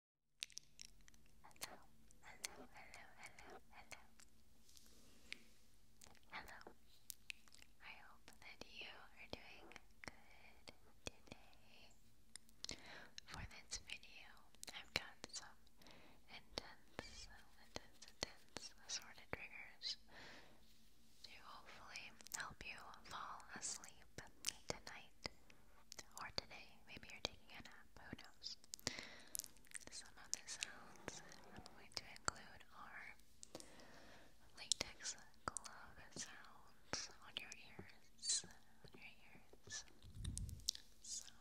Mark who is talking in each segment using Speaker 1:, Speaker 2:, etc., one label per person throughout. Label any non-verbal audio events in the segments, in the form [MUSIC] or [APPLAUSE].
Speaker 1: Hello, hello, hello, hello, hello. Hello. I hope that you are doing good today. For this video, I've got some intense, intense, intense sort triggers to hopefully help you fall asleep tonight night or today. Maybe you're taking a nap, who knows? Some of the sounds I'm going to include are latex glove sounds on your ears. On your ears. Some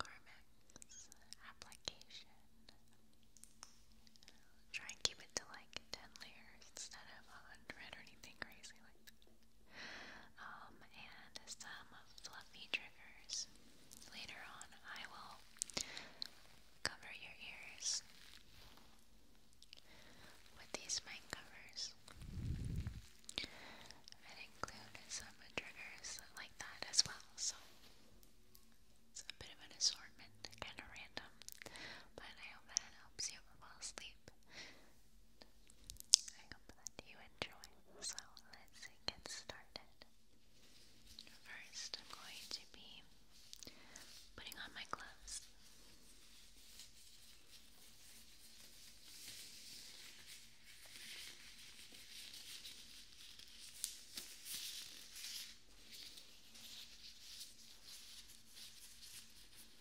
Speaker 1: Carmex application. Try and keep it to like 10 layers instead of 100 or anything crazy um, and some fluffy triggers. Later on, I will cover your ears with these mic covers and include some triggers like that as well. So it's a bit of an assortment, kind of random, but I hope that helps you fall asleep. I hope that you enjoy. So let's get started. First, I'm going to be putting on my gloves.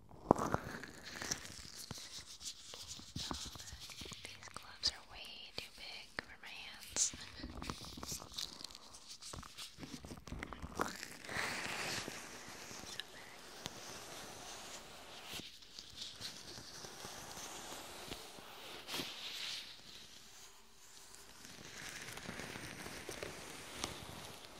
Speaker 1: These gloves are way too big for my hands. okay. Okay,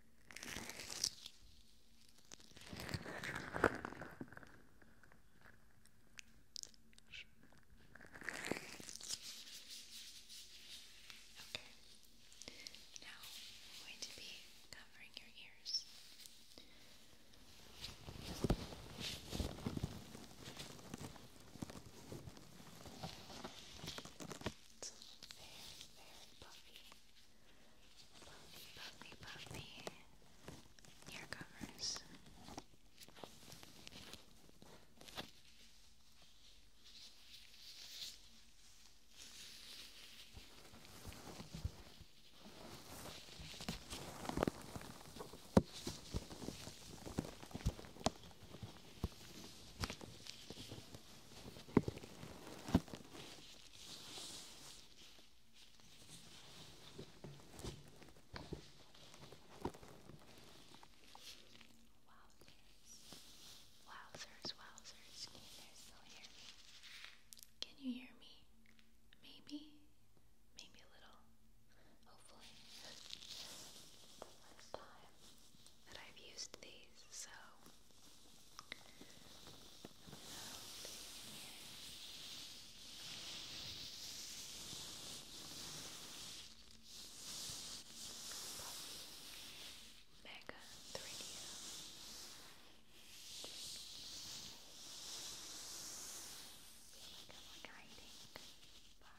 Speaker 1: Now I'm going to be covering your ears. Okay. It's very, very puffy. Puffy, puffy, puffy. Ear covers. Wowzers, wowzers, can you still hear me? Can you hear me? Maybe? Maybe a little. Hopefully. [LAUGHS] Last time that I've used these, so Mega 3D. Just feel like I'm guiding by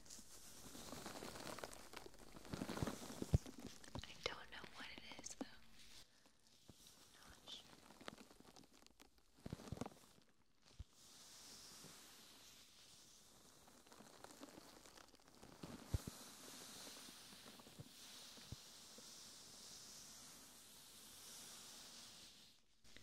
Speaker 1: I don't know what it is though. Not sure.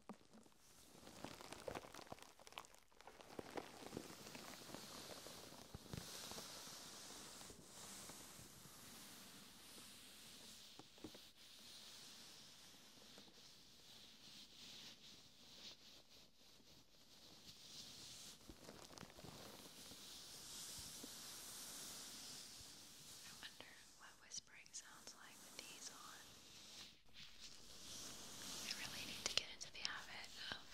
Speaker 1: I wonder what was whispering sounds like these on. I really need to get into the habit of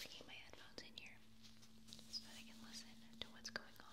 Speaker 1: bringing my headphones in here so that I can listen to what's going on.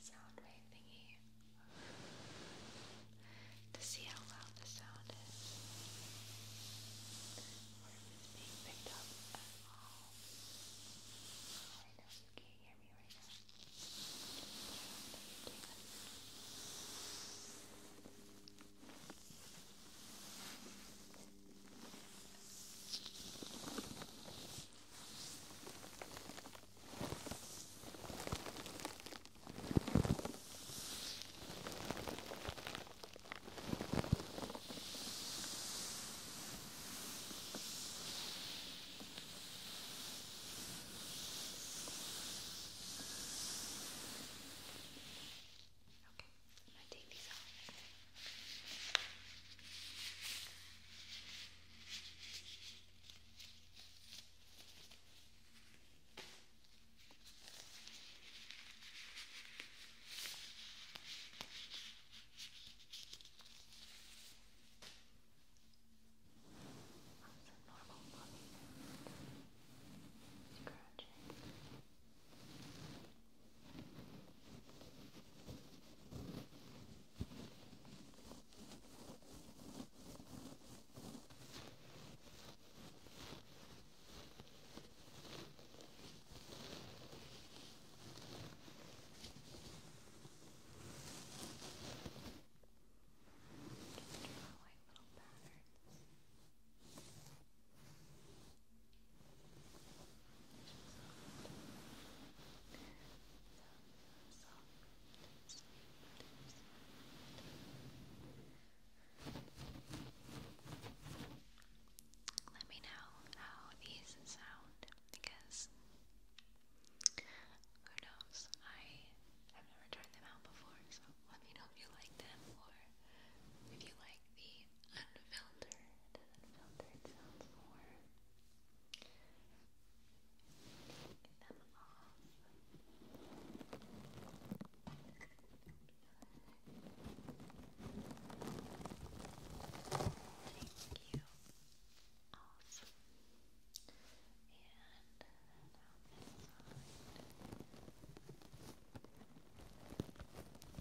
Speaker 1: sound wave thingy to see how loud the sound is or if it's being picked up at all. I know you can't hear me right now. But you can. Thank you Okay, I'm gonna take these off normal body scratching. Just just draw like little patterns. Let me know how these sound because who knows? I have never tried them out before, so let me know if you like them or if you like the unfiltered. Unfiltered sounds more Thank you. Awesome. Um,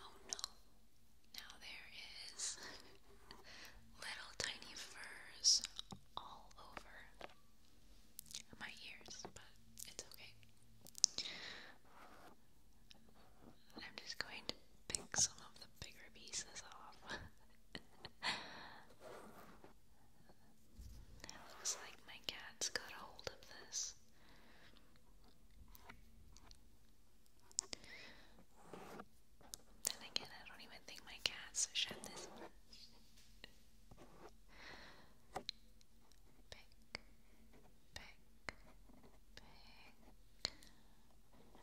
Speaker 1: Oh no. Now there is little tiny furs all over my ears, but it's okay. I'm just going to pick some of the bigger pieces off. [LAUGHS] It looks like my cat's got a hold of this. Then again, I don't even think my cat's shed this Pick, pick, pick.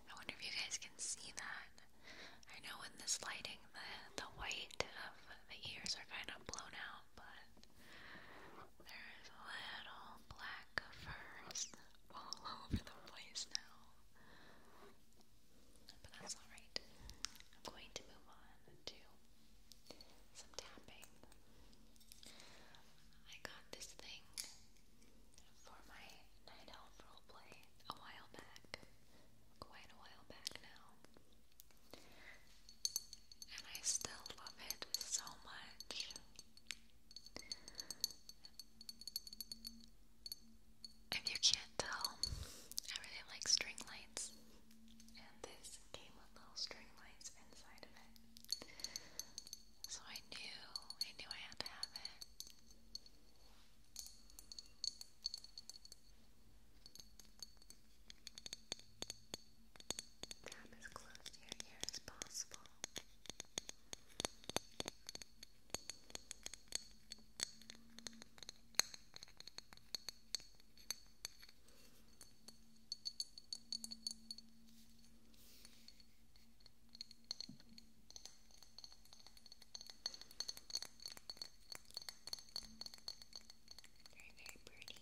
Speaker 1: I wonder if you guys can see that. I know in this lighting the the white of the ears are kind of blown out, but there is little black furs all [LAUGHS] over the place now. But that's alright. I'm going to move on to some tapping. I got this thing for my night elf roleplay a while back. Quite a while back now and I still love it so much. If you can't tell, I really like string lights, and this came with little string lights inside of it. So I knew, I knew I had to have it. Tap as close to your ear as possible. Good. Very, very pretty. Very,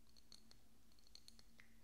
Speaker 1: slower, slower, slower.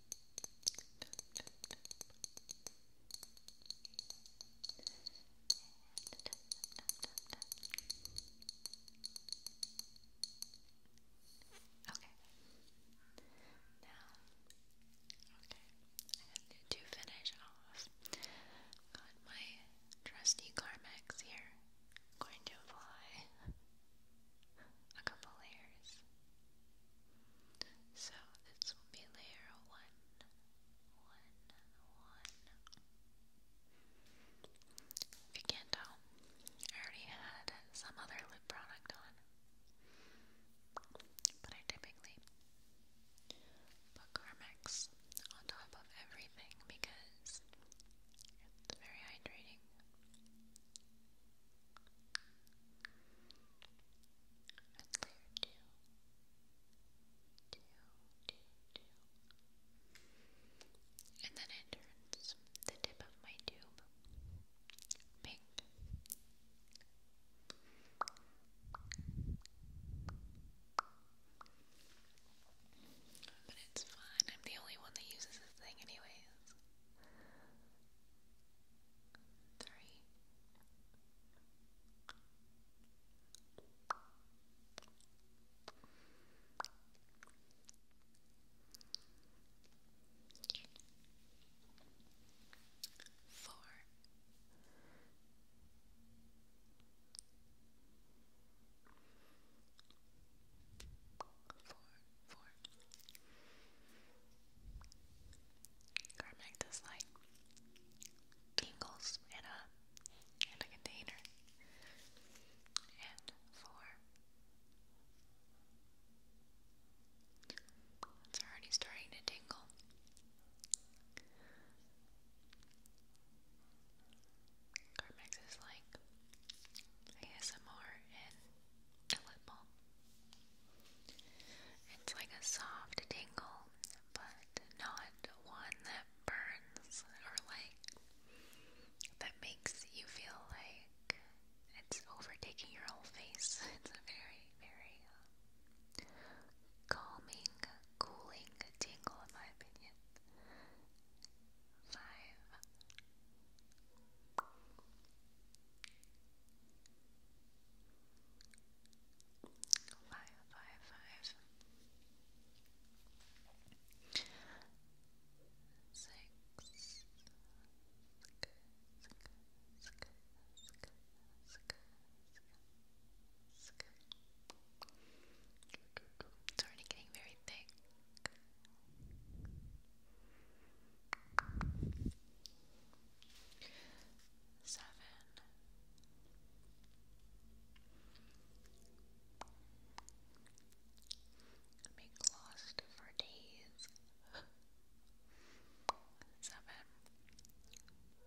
Speaker 1: need to finish off. Got my trusty Carmex here. Going to apply a couple layers so this will be layer one, one, one. If you can't tell, I already had some other lip product on. But I typically put Carmex on top of everything because it's very hydrating two. And then it turns the tip of my tube pink. But it's fun. I'm the only one that uses this thing, anyways three. Four. Four four. Carmack does like tingles in a in a container. And four. It's already starting to tingle. Carmex is like ASMR and a lip balm. It's like a soft tingle, but not one that burns or like that makes you feel like it's overtaking your whole face. [LAUGHS] It's a very, very uh, calming, cooling tingle, in my opinion. Five. Five, five, five. Six. Six, six, It's already getting very thick seven. lost for days. Seven, eight,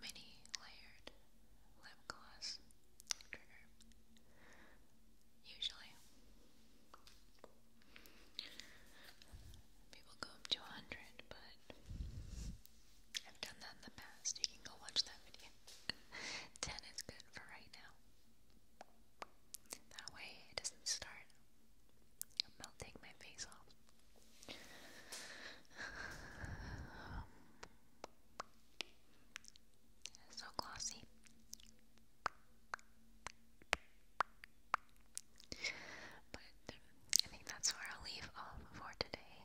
Speaker 1: mini layered lip gloss trigger. Usually, people go up to 100, but I've done that in the past. You can go watch that video. [LAUGHS] 10 is good for right now. That way it doesn't start melting my face off. [SIGHS] Um, so glossy. But I think that's where I'll leave off for today.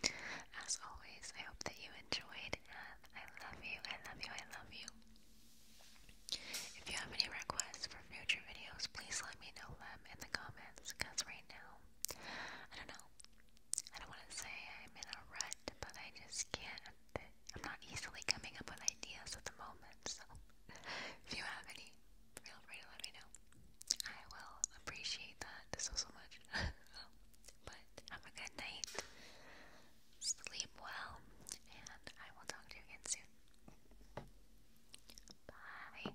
Speaker 1: [LAUGHS] As always, I hope that you enjoyed, and I love you, I love you, I love you. If you have any requests for future videos, please let me know them in the comments, because right now, I don't know, I don't want to say I'm in a rut, but I just can't. I'm not easily coming up with ideas at the moment, so if you have any, feel free to let me know. I will appreciate that so, so much. [LAUGHS] but have a good night, sleep well, and I will talk to you again soon. Bye.